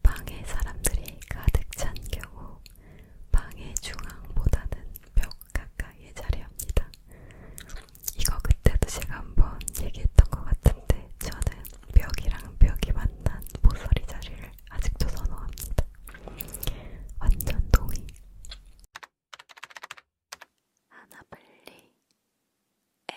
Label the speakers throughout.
Speaker 1: 방에 사람들이 가득 찬 경우 방의 중앙보다는 벽 가까이에 자리합니다. 이거 그때도 제가 한번 얘기했던 것 같은데 저는 벽이랑 벽이 만난 모서리 자리를 아직도 선호합니다. 완전 동의. 하나블리 A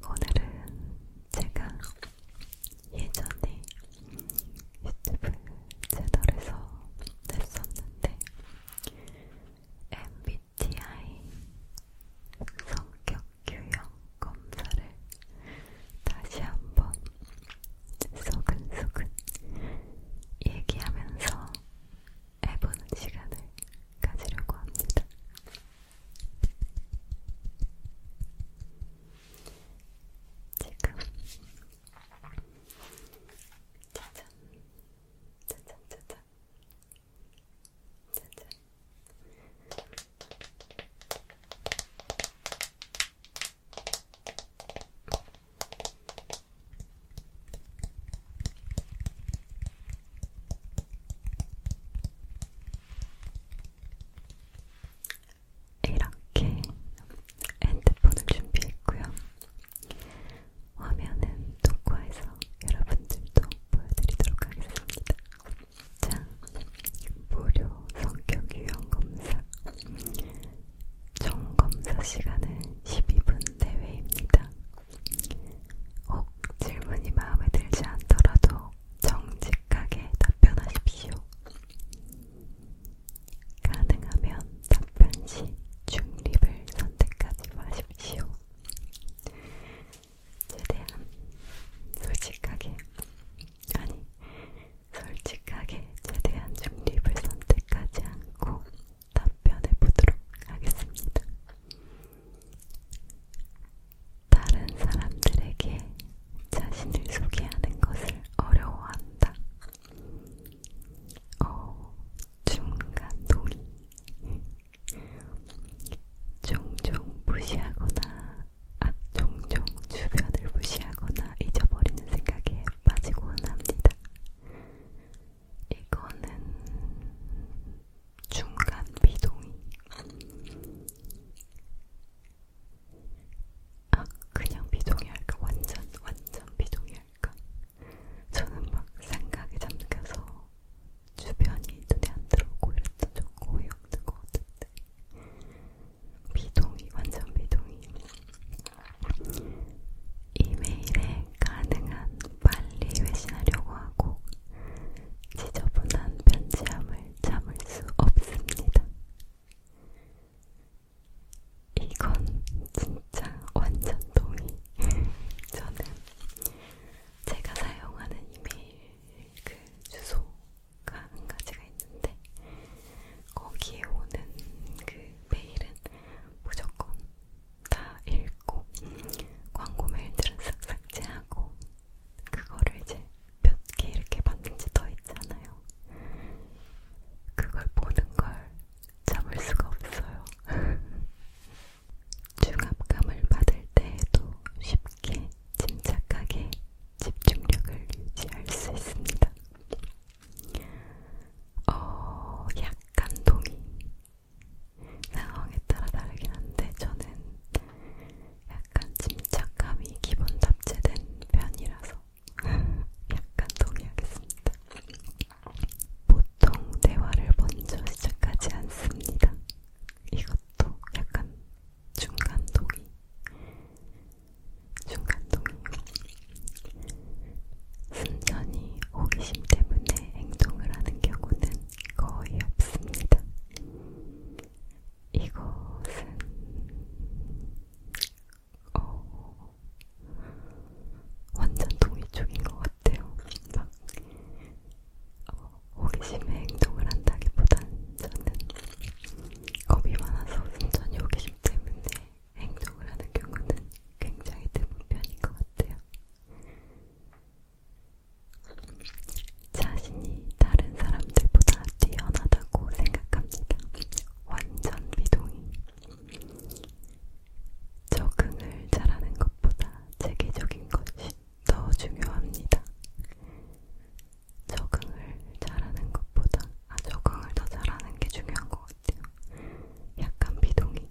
Speaker 1: 안녕. 오늘은 제가 예전에 유튜브 채널에서 냈었는데 MBTI 성격 유형 검사를 다시 한번 소근소근 얘기하면서 해보는 시간을 가지려고 합니다. 지금 짜잔 짜잔 짜잔 짜잔 이렇게 핸드폰을 준비했고요. 화면은 녹화해서 여러분들도 보여드리도록 하겠습니다. 입장 무료 성격 유형 검사 총 검사 시간은 12분 내외입니다. 혹 질문이 마음에 들지 않더라도 정직하게 답변하십시오. 가능하면 답변 시 중립을 선택하지 마십시오. 최대한 솔직하게 아니 솔직하게 최대한 중립을 선택하지 않고 답변해 보도록 하겠습니다. 다른 사람들에게 자신을 소개하는 것을 어려워한다. 어, 중간 동의. 종종 무시하거나 종종 주변을 무시하거나 잊어버리는 생각에 빠지곤 합니다. 이거는 중간 비동의. 아, 그냥 비동의할까? 완전, 완전 비동의할까? 저는 막 생각에 잠겨서 주변이 눈에 안 들어오고 이랬던 좀 고역된 것 같은데. 비동의, 완전 비동의. 이메일에 가능한 빨리 회신하려고 하고 지저분한 편지함을 참을 수 없습니다. 이건 진짜 완전 동의. 저는 제가 사용하는 이메일 그 주소 한 가지가 있는데 거기에 오는 그 메일은 무조건 다 읽고 광고 메일들은 싹싹 제하고 그거를 이제 몇 개 이렇게 받는지 더 있잖아요. 그걸 보는 걸 참을 수가 없어요. 중압감을 받을 때에도 쉽게 쉽게 침착하게 집중력을 유지할 수 있습니다. 어, 약간 동의. 상황에 따라 다르긴 한데 저는 약간 침착함이 기본 탑재된 편이라서 약간 동의하겠습니다. 보통 대화를 먼저 시작하지 않습니다. 이것도 약간 중간 동이 중간 동이 순전히 호기심 때문에 행동을 하는 경우는 거의 없습니다. 이것은 어, 완전 동이 쪽인 것 같아요. 막 어, 호기심의 행동을 한다기보단 저는 겁이 많아서 순전히 호기심 때문에 행동을 하는 경우는 굉장히 드문 편인 것 같아요. 자신이 다른 사람들보다 뛰어나다고 생각합니다. 완전 비동의. 적응을 잘하는 것보다 체계적인 것이 더 중요합니다. 적응을 잘하는 것보다, 아, 적응을 더 잘하는 게 중요한 것 같아요. 약간 비동의.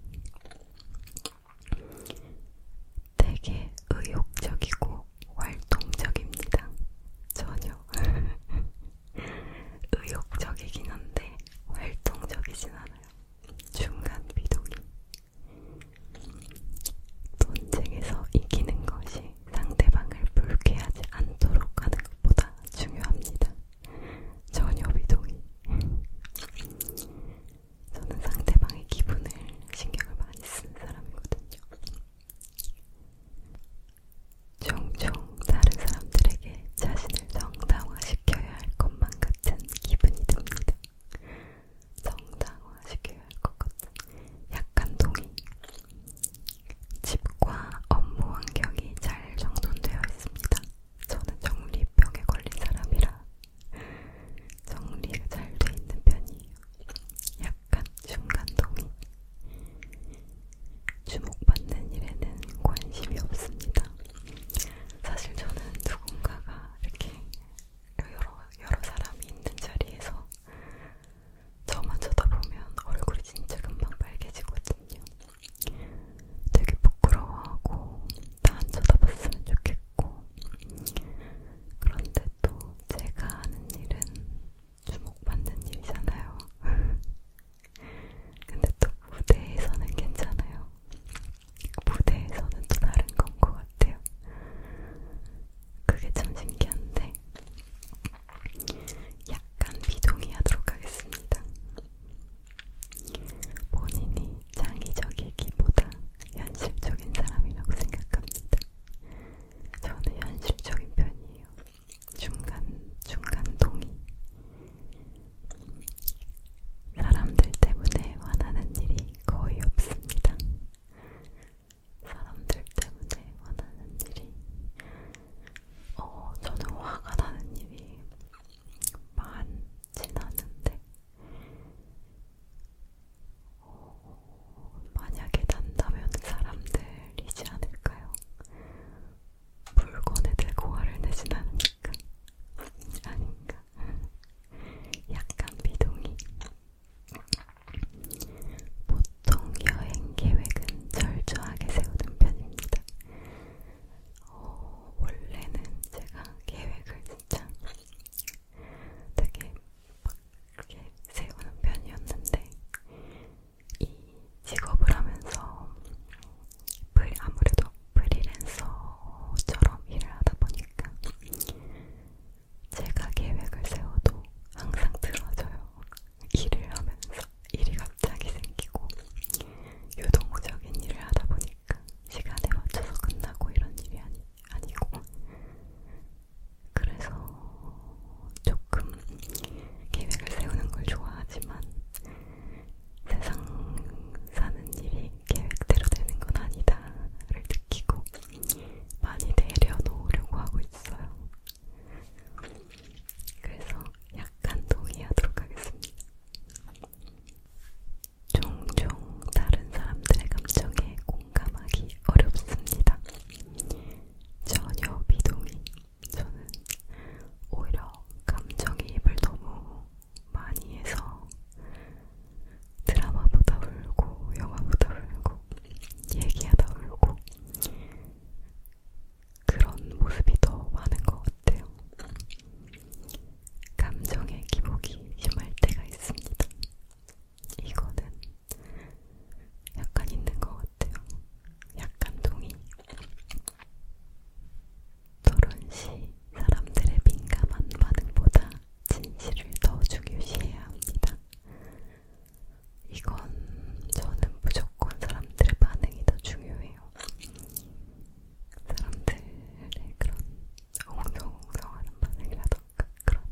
Speaker 1: 되게 의욕적이고 활동적입니다. 전혀. 의욕적이긴 한데 활동적이진 않아요. 중간 비동의. 논쟁에서 이기는 것이 상대방을 불쾌하지 않도록 하는 것보다 중요합니다. 전혀 비동의. 저는 상대방의 기분을 신경을 많이 쓰는 사람이거든요. 종종 다른 사람들에게 자신을 정당화시켜야 할 것만 같은 기분이 듭니다. 성장화시켜야 할 것 같은 약간 동의. 집과 업무 환경이 잘 정돈되어 있습니다. 저는 정리병에 걸린 사람이라 정리가 잘돼 있는 편이에요. 약간 중간 동의. 주목받는 일에는 관심이 없습니다. 사실 저는 누군가가 이렇게 여러, 여러 사람이 있는 자리에서 저만 쳐다보면 얼굴이 진짜 금방 빨개지거든요. 되게 부끄러워하고 다 안 쳐다봤으면 좋겠고 그런데 또 제가 하는 일은 주목받는 일이잖아요. 근데 또 무대에서는 괜찮아요. 무대에서는 또 다른 건 것 같아요. 그게 참 신기한데 약간 비동의하도록 하겠습니다. 본인이 창의적이기보다 현실적인 사람이라고 생각합니다. 저는 현실적인 편이에요. 중간 중간 동의. 사람들 때문에 화나는 일이 거의 없습니다. 사람들 때문에 화나는 일이 어 저는 화가 나는 일이 많진 않은데 어, 만약에 난다면 사람들이지 않을까요? 물건에 대고 화를 내진 않으니까 아닌가 약간 미동이 보통 여행 계획은 철저하게 세우는 편입니다. 어, 원래는 제가 계획을 진짜 되게 막 그렇게 세우는 편이었는데 이 직업을 하면서 프리, 아무래도 프리랜서처럼 일을 하다 보니까 제가 계획을 세워도 항상 틀어져요. 일을 하면서 일이 갑자기 생기고 유동적인 일을 하다 보니까 시간에 맞춰서 끝나고 이런 일이 아니, 아니고 그래서 조금 계획을 세우는 걸 좋아하지만 세상 사는 일이 계획대로 되는 건 아니다를 지키고 많이 내려놓으려고 하고 있어요. 그래서 약간 동의하도록 하겠습니다. 종종 다른 사람들의 감정에 공감하기 어렵습니다. 전혀 비동의. 저는 오히려 감정이입을 너무 많이 해서 드라마보다 울고 영화보다 울고 얘기하다 울고 그런 모습이 더 많은 것 같아요. 감정의 기복이 심할 때가 있습니다. 이거는 약간 있는 것 같아요. 약간 동의. 결혼시 사람들의 민감한 반응보다 진실을 더 중요시해야 합니다. 이건 저는 무조건 사람들의 반응이 더 중요해요. 사람들의 그런 엉성엉성하는 반응이라던가 그런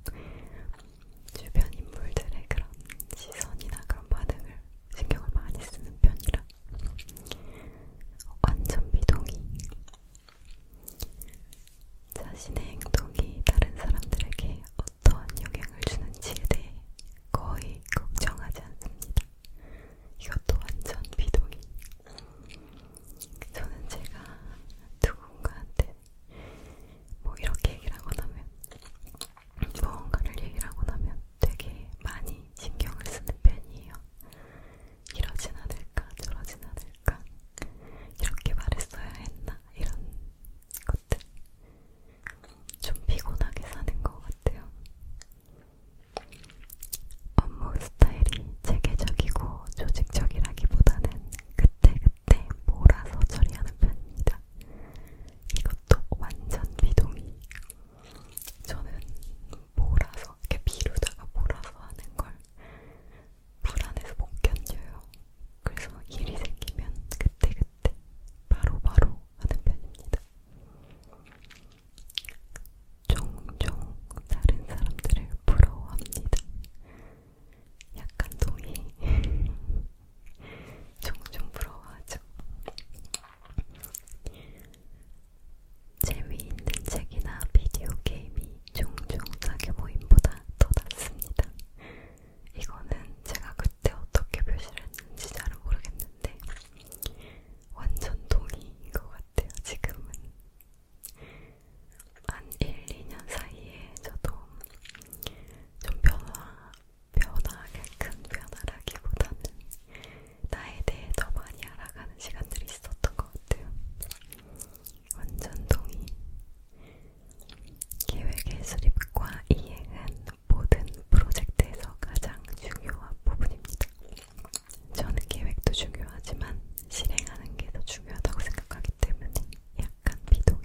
Speaker 1: 주변 인물들의 그런 시선이나 그런 반응을 신경을 많이 쓰는 편이라 완전 미동이 자신의 행동이 다른 사람들에게 어떠한 영향을 주는지에 대해 거의 걱정하지 않습니다. 이것도 완전 비동의. 저는 제가 누군가한테 뭐 이렇게 얘기를 하고 나면 무언가를 얘기를 하고 나면 되게 많이 신경을 쓰는 편이에요. 이러진 않을까 저러진 않을까 이렇게 말했어야 했나 이런 것들 좀 피곤하게 사는 것 같아요. 업무 스타일이 체계적이고 조직적이라기보다는 그때그때 몰아서 처리하는 편입니다. 이것도 완전 비동의. 저는 몰아서 이렇게 미루다가 몰아서 하는 걸 불안해서 못 견뎌요. 그래서 일이 생기면 그때그때 바로바로 바로 하는 편입니다. 종종 다른 사람들을 부러워합니다. 약간 동의. 종종 부러워하죠. 재미있는 책이나 비디오 게임이 종종 자기 모임보다 더 낫습니다. 이거는 제가 그때 어떻게 표시를 했는지 잘 모르겠는데 완전 동의인 것 같아요. 지금은 한 1, 2년 사이에 저도 좀 변화, 변화하게 큰 변화라기보다는 나에 대해 더 많이 알아가는 시간들이 있었던 것 같아요. 완전 동의. 기획의 수립과 이행은 모든 프로젝트에서 가장 중요한 부분입니다. 저는 계획도 중요하지만 실행하는 게 더 중요하다고 생각하기 때문에 약간 비동의.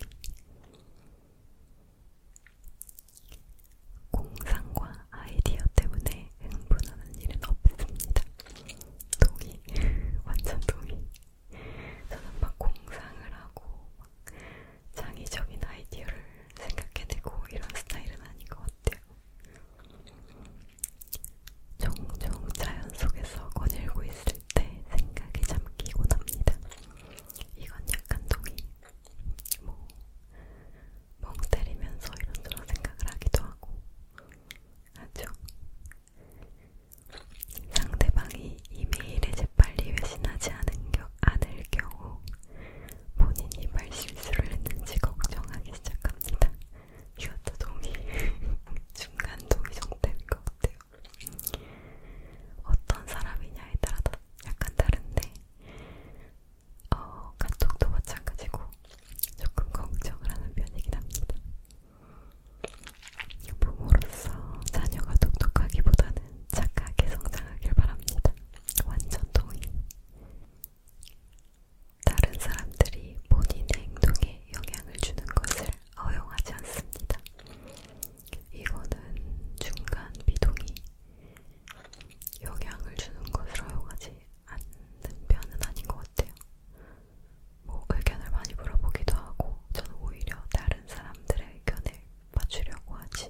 Speaker 1: 공상과 아이디어 때문에 흥분하는 일은 없습니다. 동의, 완전 동의. 저는 막 공상을 하고 막 창의적인 아이디어를 생각해내고 이런 스타일은 아닌 것 같아요. 종종 자연 속에서 거닐고 있을 때 생각에 잠기곤 합니다. 이건 약간 동의. 뭐, 멍 때리면서 이런저런 생각을 하기도 하고 하죠. 상대방이 이메일에 재빨리 회신하지 않은 겨, 않을 경우 본인이 말실수를 했는지 걱정하기 시작합니다. 이것도 동의, 중간 동의 정도 되는 것 같아요. 어떤 사람이냐에 따라 약간 다른데 어, 카톡도 마찬가지고 조금 걱정을 하는 편이긴 합니다. 부모로서 자녀가 똑똑하기보다는 착하게 성장하길 바랍니다. 완전 동의. 다른 사람들이 본인의 행동에 영향을 주는 것을 허용하지 않습니다. 이거는 중간 비동의. 영향을 주는 것을 허용하지 않는 편은 아닌 것 같아요. 뭐 의견을 많이 물어보기도 하고 저는 오히려 다른 사람들의 의견을 맞추려고 하지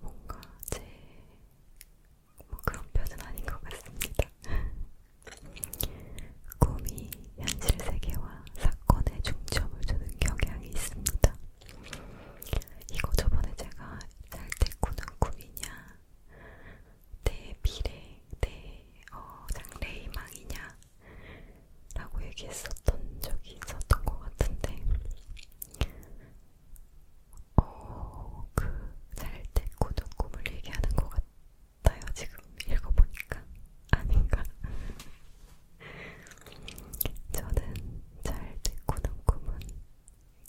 Speaker 1: 뭔가 제뭐 그런 편은 아닌 것 같습니다. 꿈이 현실 세계와 사건에 중점을 두는 경향이 있습니다. 이거 저번에 제가 잘때 꾸는 꿈이냐 내 미래, 내 어, 장래희망이냐 라고 얘기했었던 적이 있었던 것 같은데 어, 그잘 됐고도 꿈을 얘기하는 것 같아요. 지금 읽어보니까 아닌가? 저는 잘 됐고는 꿈은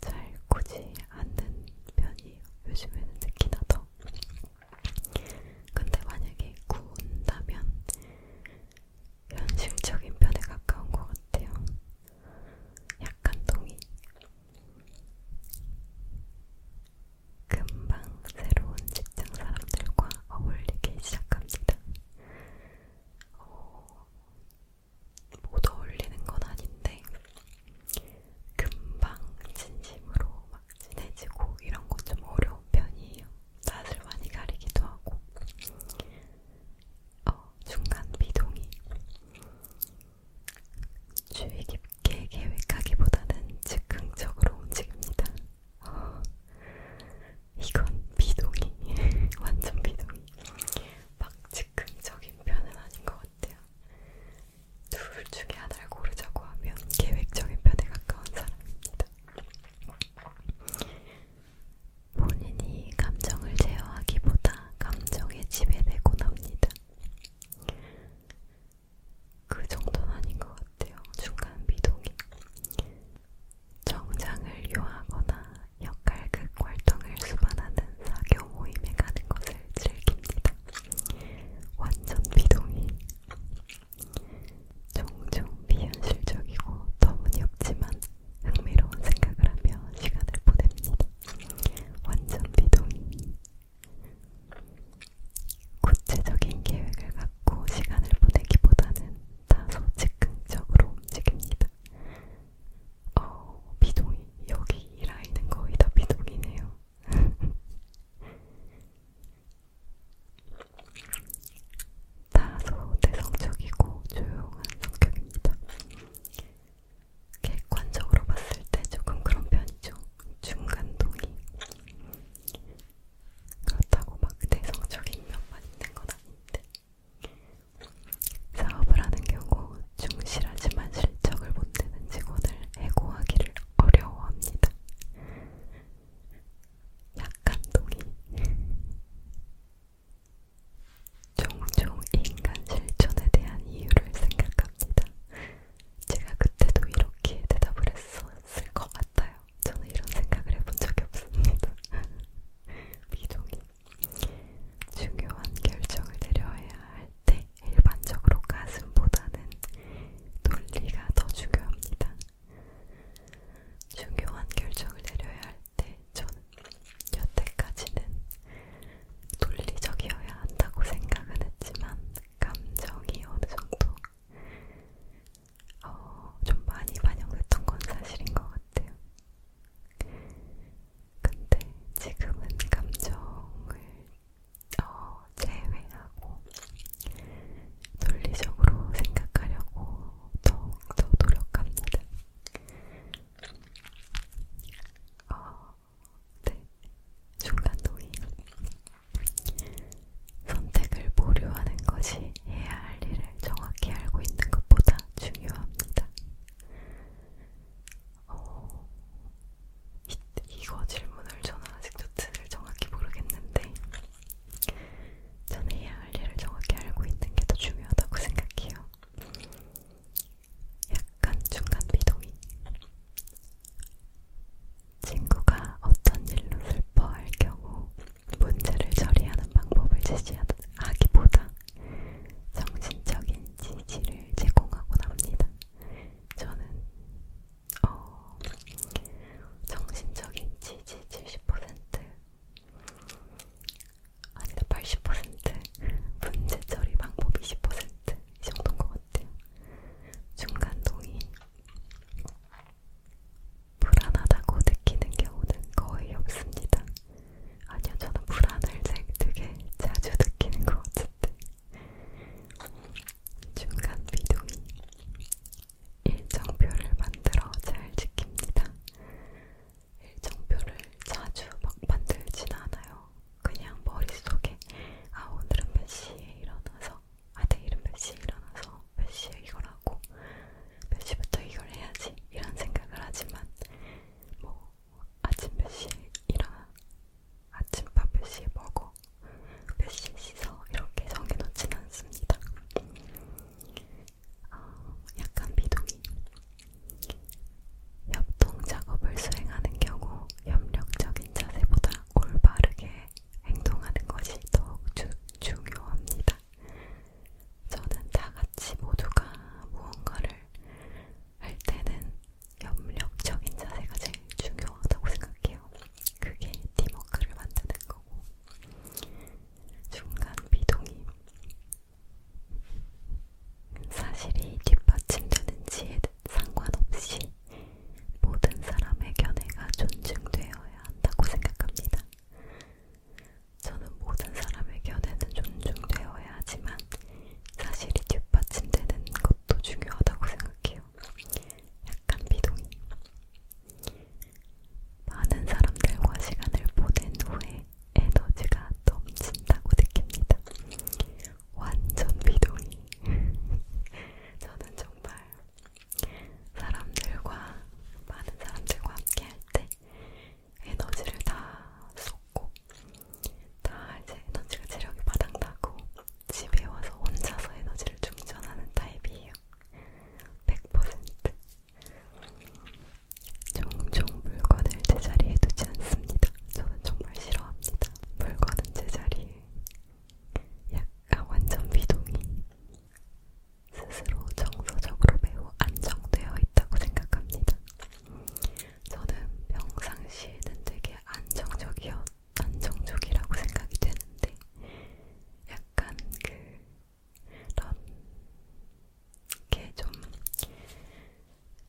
Speaker 1: 잘 굳이
Speaker 2: 않는 편이에요. 요즘에는 특히나 더. 근데 만약에 구운다면 현실적인 편에 가까운 것 같아요. 약간 동의. 금방 새로운 직장 사람들과 어울리기 시작합니다. 어, 못 어울리는 건 아닌데 금방 진심으로 막 친해지고 이런 건 좀 어려운 편이에요. 낯을 많이 가리기도 하고 어, 중간 비동이 주의 깊게 계획하기보다는 즉흥적으로 움직입니다. 어, 이건 비동이 완전 비동이 막 즉흥적인 편은 아닌 것 같아요. 같아요. 둘 중에 하나를 고르자고 하면 계획적인 편에 가까운 사람입니다. 본인이 감정을 제어하기보다 감정에 지배되곤 합니다. 그 정도는 아닌 것 같아요. 중간 미동이. 정장을 요하거나 역할극 활동을 수반하는 사교 모임에 가는 것을 즐깁니다. 완전 비동의. 종종 비현실적이고 터무니없지만 흥미로운 생각을 하며 시간을 보냅니다. 완전 비동의. 구체적인 계획을 갖고 시간을 보내기보다는 다소 즉흥적으로 움직입니다. 어, 비동이. 여기 이 라인은 거의 다 비동이네요. 다소 내성적이고 조용한 성격입니다. 객관적으로 봤을 때 조금 그런 편이죠. 중간동이. 그렇다고 막 내성적인 면만 있는 건 아닌데. 사업을 하는 경우 충실하지만 실적을 못 내는 직원을 해고하기를 어려워합니다. 약간 동의. 종종 인간 실천에 대한 이유를 생각합니다. 제가 그때도 이렇게 대답을 했었을 것 같아요. 저는 이런 생각을 해본 적이 없습니다. 미종이. 중요한 결정을 내려야 할 때 일반적으로 가슴보다는 논리가 더 중요합니다. 중요한 결정을 내려야 할 때 저는 여태까지는 논리적이어야 한다고 생각은 했지만 감정이 어느 정도 어, 좀 많이 반영됐던 건 사실인 것 같아요. 근데 지금은 감정을 어, 제외하고 논리적으로 생각하려고 더욱더 노력합니다. 어, 네. 중간도의 선택을 보류하는 것이 해야 할 일을 정확히 알고 있는 것보다 중요합니다. 어, 이, 이거 질문을 저는 아직도 뜻을 정확히 모르겠는데 저는 해야 할 일을 정확히 알고 있는 게 더 중요하다고 생각해요. 약간 중간 비동의. 친구가 어떤 일로 슬퍼할 경우 문제를 처리하는 방법을 제시하기보다 정신적인 지지를 제공하곤 합니다. 저는 어, 정신적인 지지 70% 아니다 80% 문제 처리 방법 20%이 정도인 것 같아요. 중간 동의 불안하다고 느끼는 경우는 거의 없습니다. 아니요, 저는 불안을 되게 자주 느끼는 것 같은데 중간 비동이 일정표를 만들어 잘 지킵니다. 일정표를 자주 막 만들진 않아요. 그냥 머릿속에 아 오늘은 몇 시에 일어나서 아 내일은 몇 시에 일어나서 몇 시에 이걸 하고 몇 시부터 이걸 해야지 이런 생각을 하지만 뭐 아침 몇 시에 일어나 아침밥 몇 시에 먹어 몇 시에 씻어 이렇게 정해놓진 않습니다. 어, 약간 비동의 협동 작업을 수행하는 경우 협력적인 자세보다 올바르게 행동하는 것이 더욱 주, 중요합니다. 저는 다 같이 모두가 무언가를 할 때는 협력적인 자세가 제일 중요하다고 생각해요. 그게 팀워크를 만드는 거고 중간 비동의 사실이 뒷받침되는지에 상관없이 모든 사람의 견해가 존중되어야 한다고 생각합니다. 저는 모든 사람의 견해는 존중되어야 하지만 사실이 뒷받침되는 것도 중요하다고 생각해요. 약간 비동의. 많은 사람들과 시간을 보낸 후에 에너지가 넘친다고 느낍니다. 완전 비동의. 저는 정말 사람들과
Speaker 3: 많은 사람들과 함께 할때 에너지를 다 쏟고 다 이제 에너지가 체력이 바닥나고 집에 와서 혼자서 에너지를 충전하는 타입이에요. 100% 종종 물건을 제자리에 두지 않습니다. 저는 정말 싫어합니다. 물건은 제자리에 약간 완전 비동이 스스로 정서적으로 매우 안정되어 있다고 생각합니다. 저는 평상시에는 되게 안정적이어 안정적이라고 생각이 되는데 약간 그런 게좀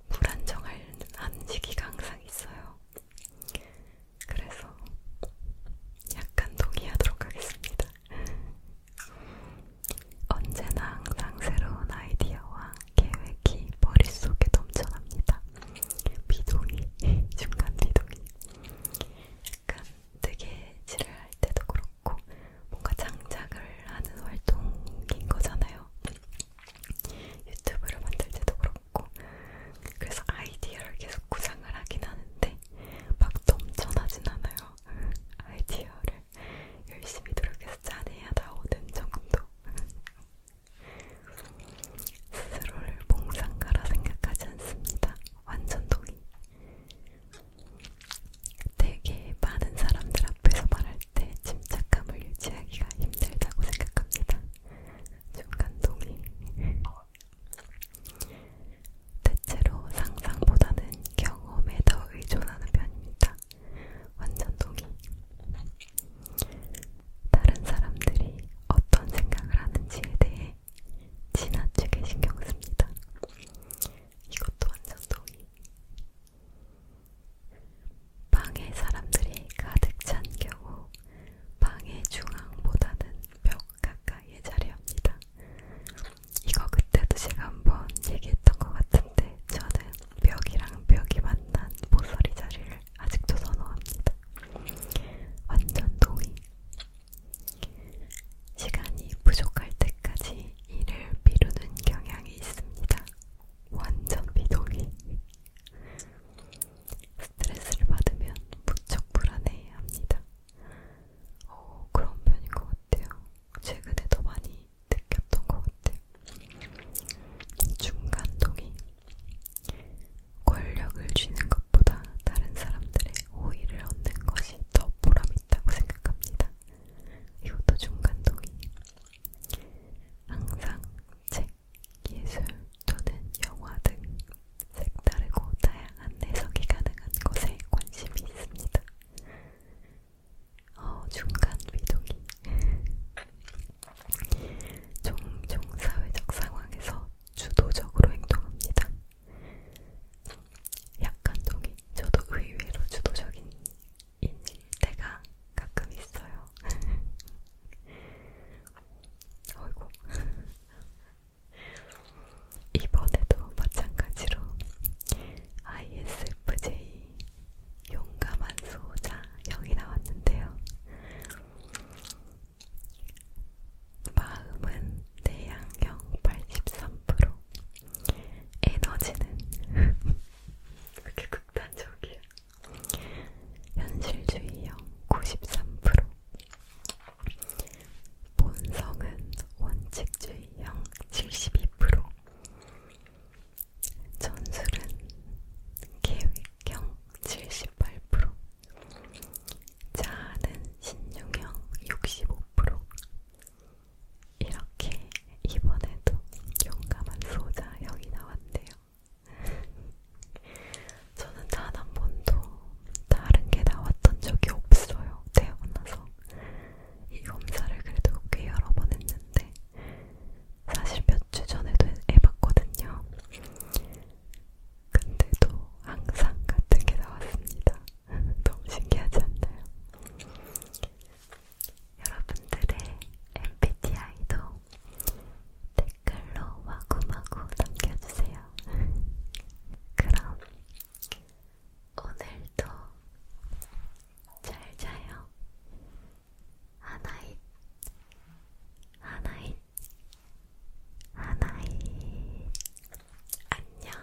Speaker 3: 불안정한 시기가 항상 있어요. 그래서 약간 동의하도록 하겠습니다. 언제나 항상 새로운 아이디어와 계획이 머릿속에 넘쳐납니다. 비동이, 중간 비동이. 약간 뜨개질을 할 때도 그렇고 뭔가 창작을 하는 활동인 거잖아요. 유튜브를 만들 때도 그렇고 그래서 아이디어를 계속 구상을 하긴 하는데 막 넘쳐나진 않아요. 아이디어를 열심히 노력해서 잘해야 나오는 정도 스스로를 봉상가라 생각하지 않습니다. 완전 동의. 되게 많은 사람들 앞에서 말할 때 침착함을 유지하기가 힘들다고 생각합니다. 중간 동의. 대체로 상상보다는 경험에 더 의존하는 편입니다. 완전 동의.
Speaker 4: 다른 사람들이 어떤 생각을 하는지에 대해 지나치게 신경 씁니다. 이것도 완전 동의. 방에 사람들이 가득 찬 경우 방의 중앙보다는 벽 가까이에 자리합니다. 이거 그때도 제가 한 번 얘기했던 것 같은데 저는 벽이랑 벽이 만난 모서리 자리를 아직도 선호합니다. 완전 동의. 시간이 부족할 때까지 일을 미루는 경향이 있습니다. 완전 비동의. 스트레스를 받으면 무척 불안해합니다. 어, 그런 편인 것 같아요. 최근에 더 많이 느꼈던 것 같아요. 중간동이 권력을 쥐는 것보다 다른 사람들의 호의를 얻는 것이 더 보람있다고 생각합니다. 이것도 중간동이 항상 책, 예술 또는 영화 등 색다르고 다양한 해석이 가능한 것에 관심이 있습니다. 어, 중간 위동이 종종 사회적 상황에서 주도적으로 행동합니다. 약간 동의, 저도 의외로 주도적인 인일 때가 가끔 있어요. 어이고 이번에도 마찬가지로 ISFJ 용감한 수호자 0이 나왔는데요. 마음은 내향형 83%, 에너지는 그렇게 극단적이야. 현실주의형 93%, 본성은 원칙주의형 72% 전술은 계획형 78% 자아는 신용형 65% 이렇게 이번에도 용감한 소자 형이 나왔네요. 저는 단 한 번도 다른 게 나왔던 적이 없어요. 태어나서 이 검사를 그래도 꽤 여러 번 했는데 사실 몇 주 전에도 해봤거든요. 근데도 항상 같은 게 나왔습니다. 너무 신기하지 않나요? 여러분들의 MBTI도 댓글로 마구마구 남겨주세요. 그럼 오늘도 잘 자요. 하나잇, 하나잇, 하나잇. 안녕.